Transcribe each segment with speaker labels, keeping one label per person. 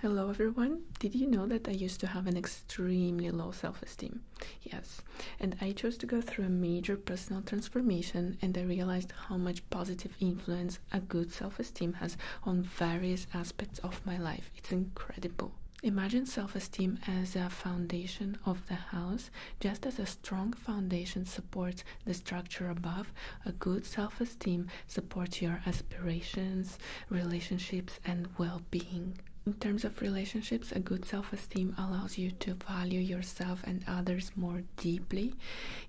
Speaker 1: Hello everyone! Did you know that I used to have an extremely low self esteem? Yes, and I chose to go through a major personal transformation and I realized how much positive influence a good self esteem has on various aspects of my life. It's incredible. Imagine self esteem as a foundation of the house. Just as a strong foundation supports the structure above, a good self esteem supports your aspirations relationships, and well being. In terms of relationships, a good self esteem allows you to value yourself and others more deeply.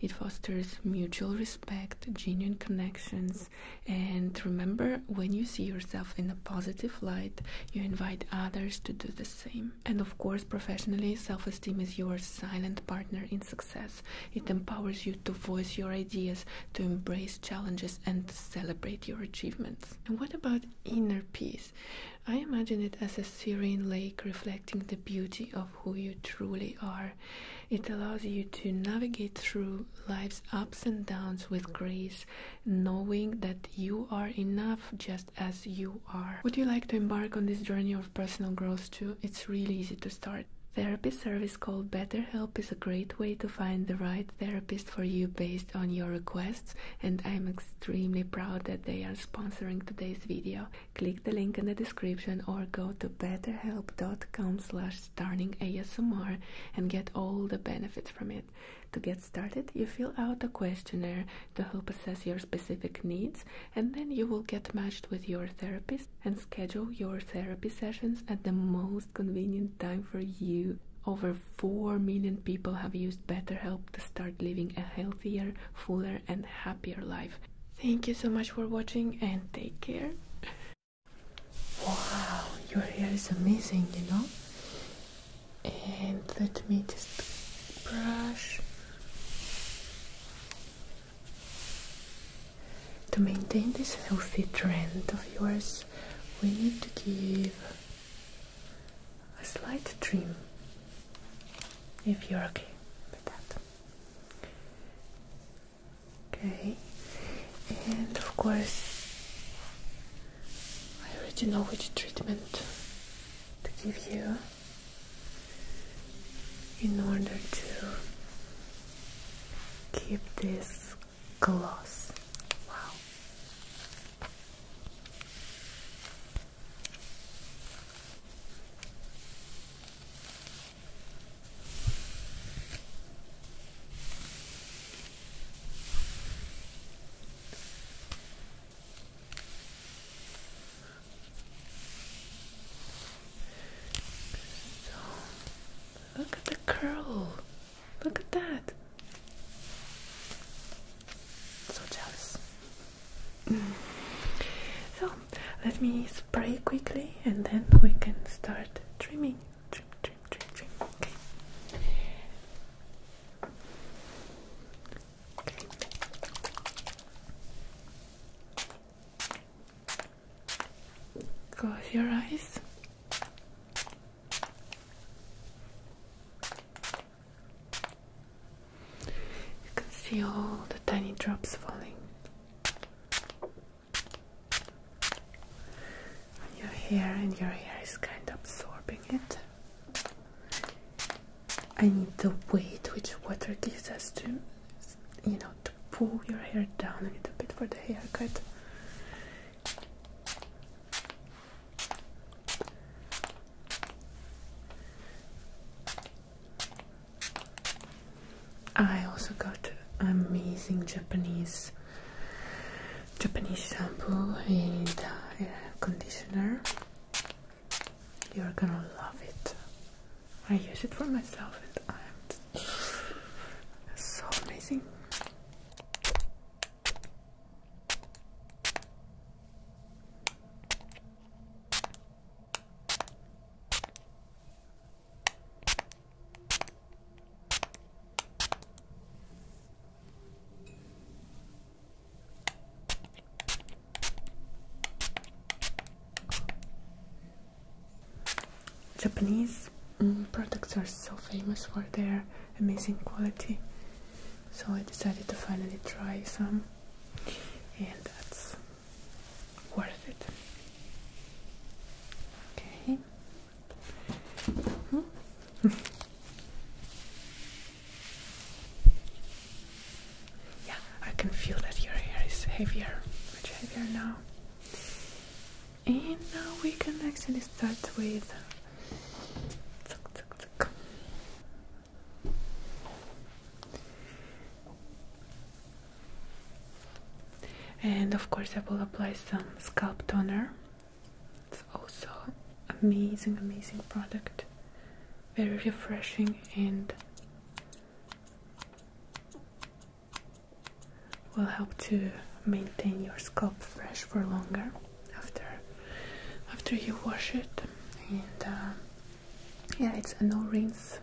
Speaker 1: It fosters mutual respect, genuine connections, and remember when you see yourself in a positive light, you invite others to do the same. And of course, professionally, self esteem is your silent partner in success. It empowers you to voice your ideas, to embrace challenges, and celebrate your achievements. And what about inner peace? I imagine it as a serene lake reflecting the beauty of who you truly are. It allows you to navigate through life's ups and downs with grace, knowing that you are enough just as you are. Would you like to embark on this journey of personal growth too? It's really easy to start. Therapy service service called BetterHelp is a great way to find the right therapist for you based on your requests, and I'm extremely proud that they are sponsoring today's video. Click the link in the description or go to betterhelp.com slash starningasmr and get all the benefits from it. To get started, you fill out a questionnaire to help assess your specific needs, and then you will get matched with your therapist and schedule your therapy sessions at the most convenient time for you. Over 4 million people have used BetterHelp to start living a healthier, fuller, and happier life. Thank you so much for watching and take care. Wow, your hair is amazing, you know? And let me just brush. To maintain this healthy trend of yours, we need to give a slight trim if you're okay with that. Okay, and of course, I already know which treatment to give you in order to keep this gloss. Wow. Look at the curl. Look at that. So jealous. so let me spray quickly and then we can start trimming. Trim, trim, trim, trim. Okay. Close your eyes. You can see all the tiny drops falling on your hair, and your hair is kind of absorbing it. I need the weight which water gives us to, you know, to pull your hair down a little bit for the haircut. I also got amazing Japanese Japanese shampoo and uh, conditioner. You're gonna love it. I use it for myself and I'm so amazing. Japanese mm, products are so famous for their amazing quality, so I decided to finally try some, and that's worth it. Okay. Mm-hmm. yeah, I can feel that your hair is heavier, much heavier now and now we can actually start with and of course I will apply some scalp toner it's also amazing amazing product very refreshing and will help to maintain your scalp fresh for longer after after you wash it and uh, yeah it's a no rinse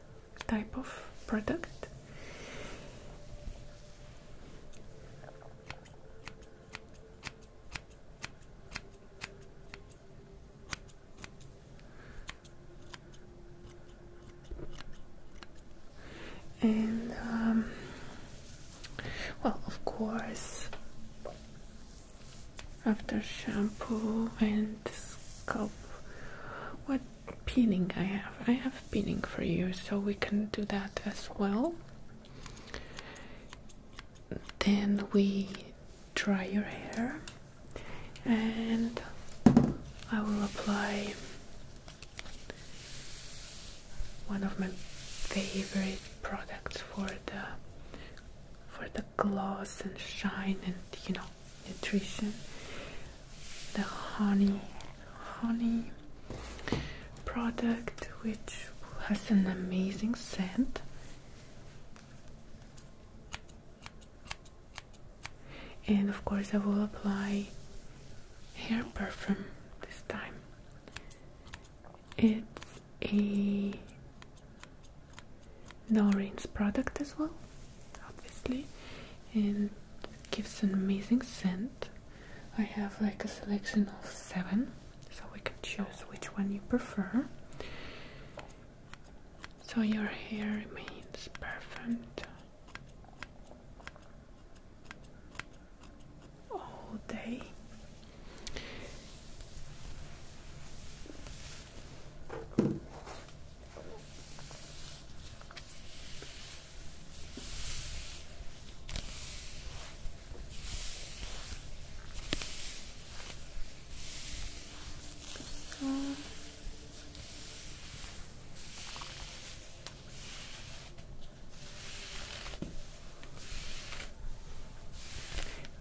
Speaker 1: type of product and um, well of course after shampoo and scalp what peeling I have I have peeling for you so we can do that as well then we dry your hair and I will apply one of my favorite products for the for the gloss and shine and you know nutrition the honey honey product which has an amazing scent and of course I will apply hair perfume this time. It's a Noreen's product as well, obviously, and gives an amazing scent. I have like a selection of seven, so we can choose which one you prefer. So your hair remains perfumed all day. So.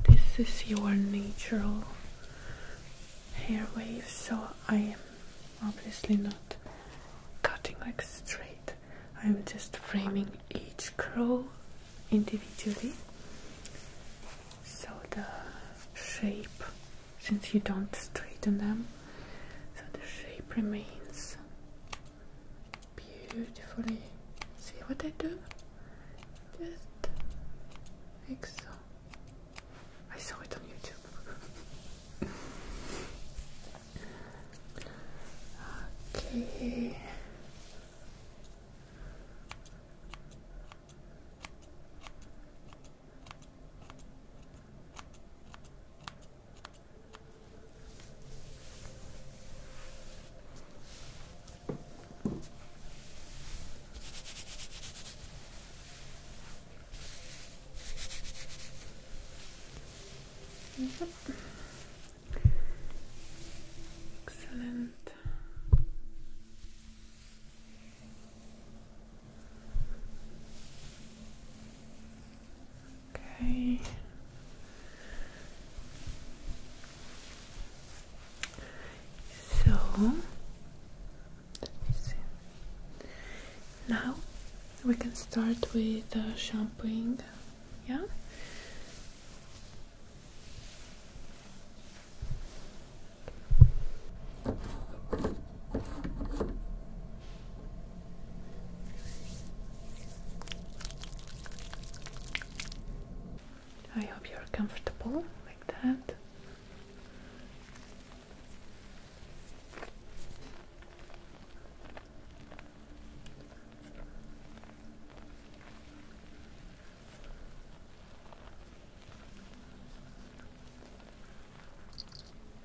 Speaker 1: This is your natural hair wave, so I am obviously not cutting like straight. I'm just framing each curl individually. So the shape, since you don't straighten them, so the shape remains beautifully. See what I do? Just like I saw it on YouTube. okay. Yep. Excellent. Okay. So let me see. Now we can start with the shampooing. Yeah. I hope you're comfortable like that.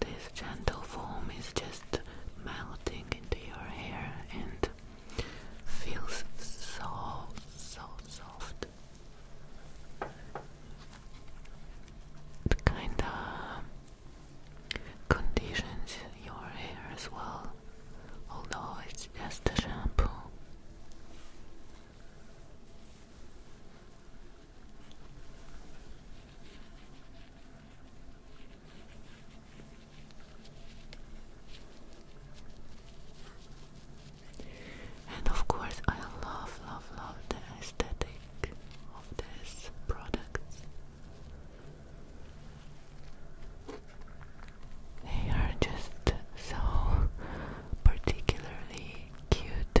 Speaker 1: This gentle foam is just melting into your hair and feels so, so soft. It kinda conditions your hair as well, although it's just a shampoo. And of course, I love, love, love the aesthetic of these products. They are just so particularly cute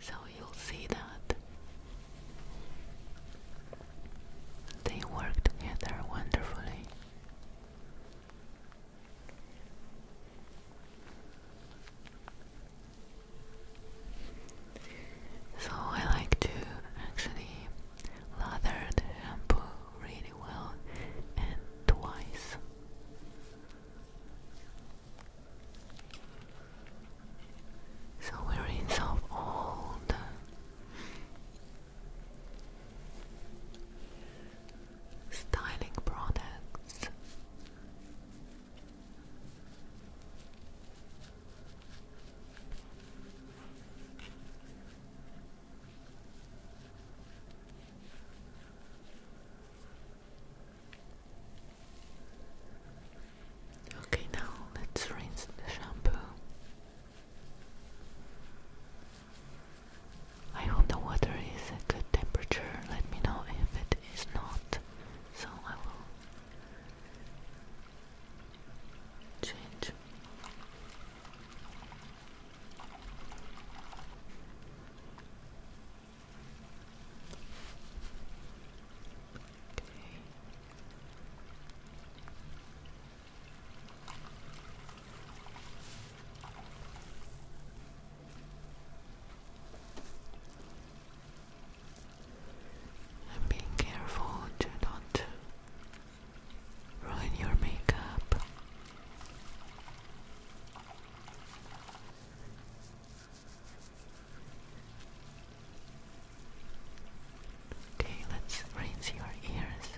Speaker 1: so you'll see that they work together wonderfully. So I like to actually lather the shampoo really well and twice. So we are in some old styling products. Okay, now let's rinse the shampoo. I hope the water is at good temperature. Let me know if it is not. So I will change. And being careful to not ruin your makeup. Okay, let's rinse your ears.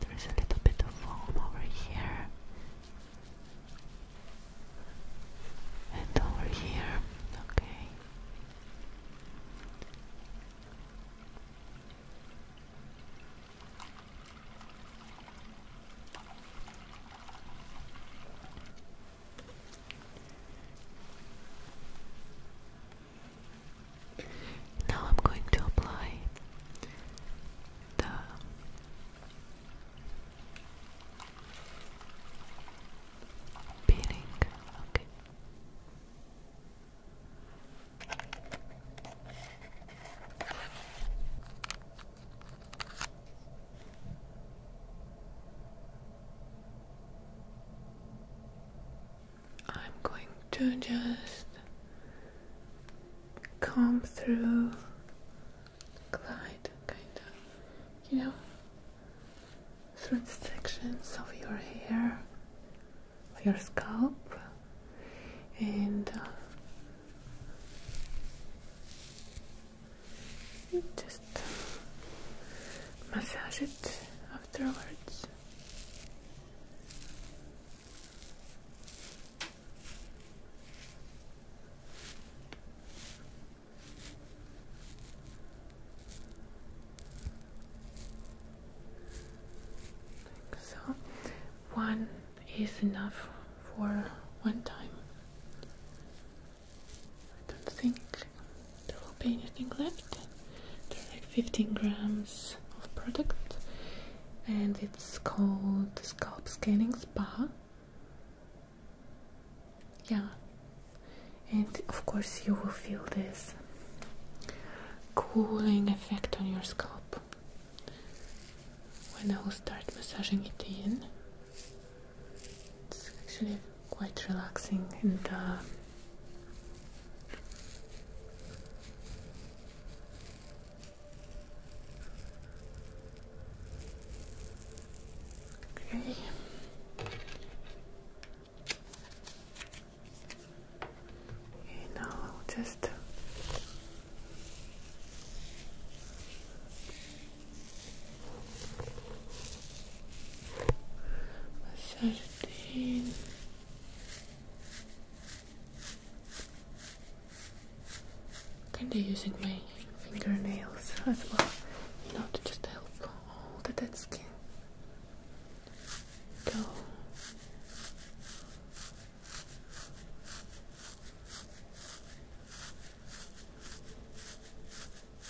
Speaker 1: There is a little bit of foam over here. And over here. Okay. Now I'm going to apply the peeling. Okay. I'm going to just comb through, glide kind of, you know, through the sections of your hair, of your scalp, and uh, just massage it afterwards. so, one is enough for one time. I don't think there will be anything left. There are like 15 grams of product and it's called Scalp Scanning Spa. Yeah, and of course you will feel this cooling effect on your scalp when I will start massaging it in. It's actually quite relaxing and uh, okay. Okay, now just thirteen. Kinda using my fingernails as well, you know, to just help hold that skin go.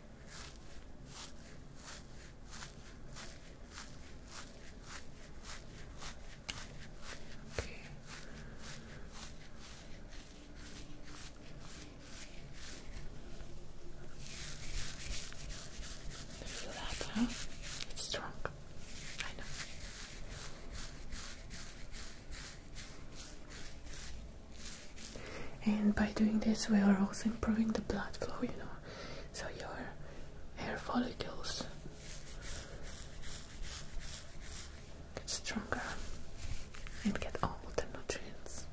Speaker 1: Okay. feel that, It's strong. I know and by doing this we are also improving the blood flow you know so your hair follicles get stronger and get all the nutrients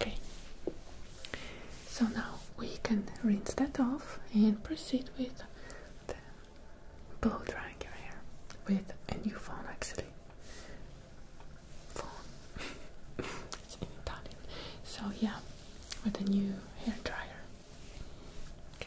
Speaker 1: okay so now we can rinse that off and proceed with the blow drying your hair with a new phone actually. Phone. So yeah, with a new hair dryer. Okay.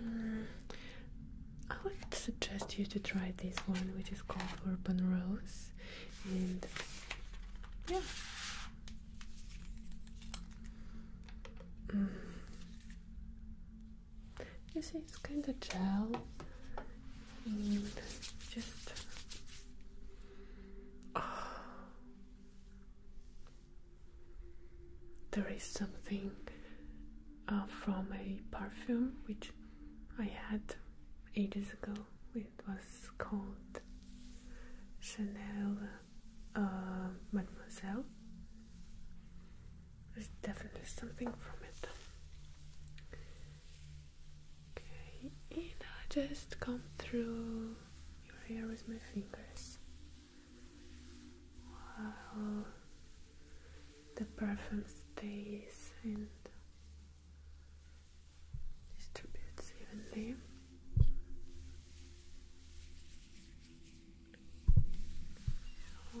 Speaker 1: Hmm. I would suggest you to try this one, which is called Urban Rose, and yeah. Hmm. You see, it's kind of gel, and just ah. there is something uh, from a perfume which I had ages ago. It was called Chanel uh, Mademoiselle. There's definitely something from it. Okay, and I just come through your hair with my fingers while the perfume stays and distributes evenly. So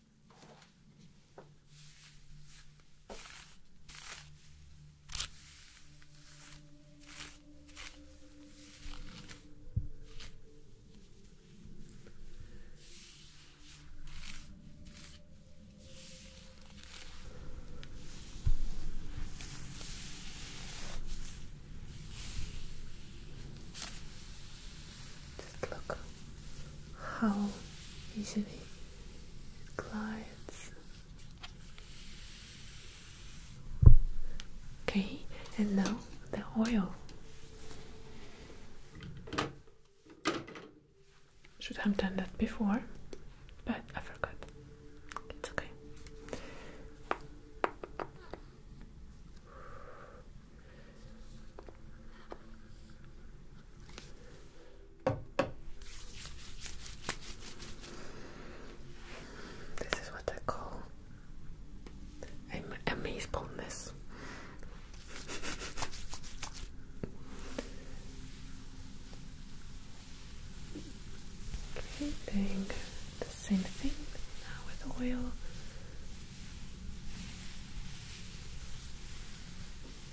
Speaker 1: Just look how easily Glides. Okay, and now the oil. Should have done that before, but I forgot. It's okay. This is what I call a amaze okay, doing the same thing now with oil.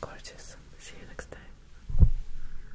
Speaker 1: Gorgeous. See you next time.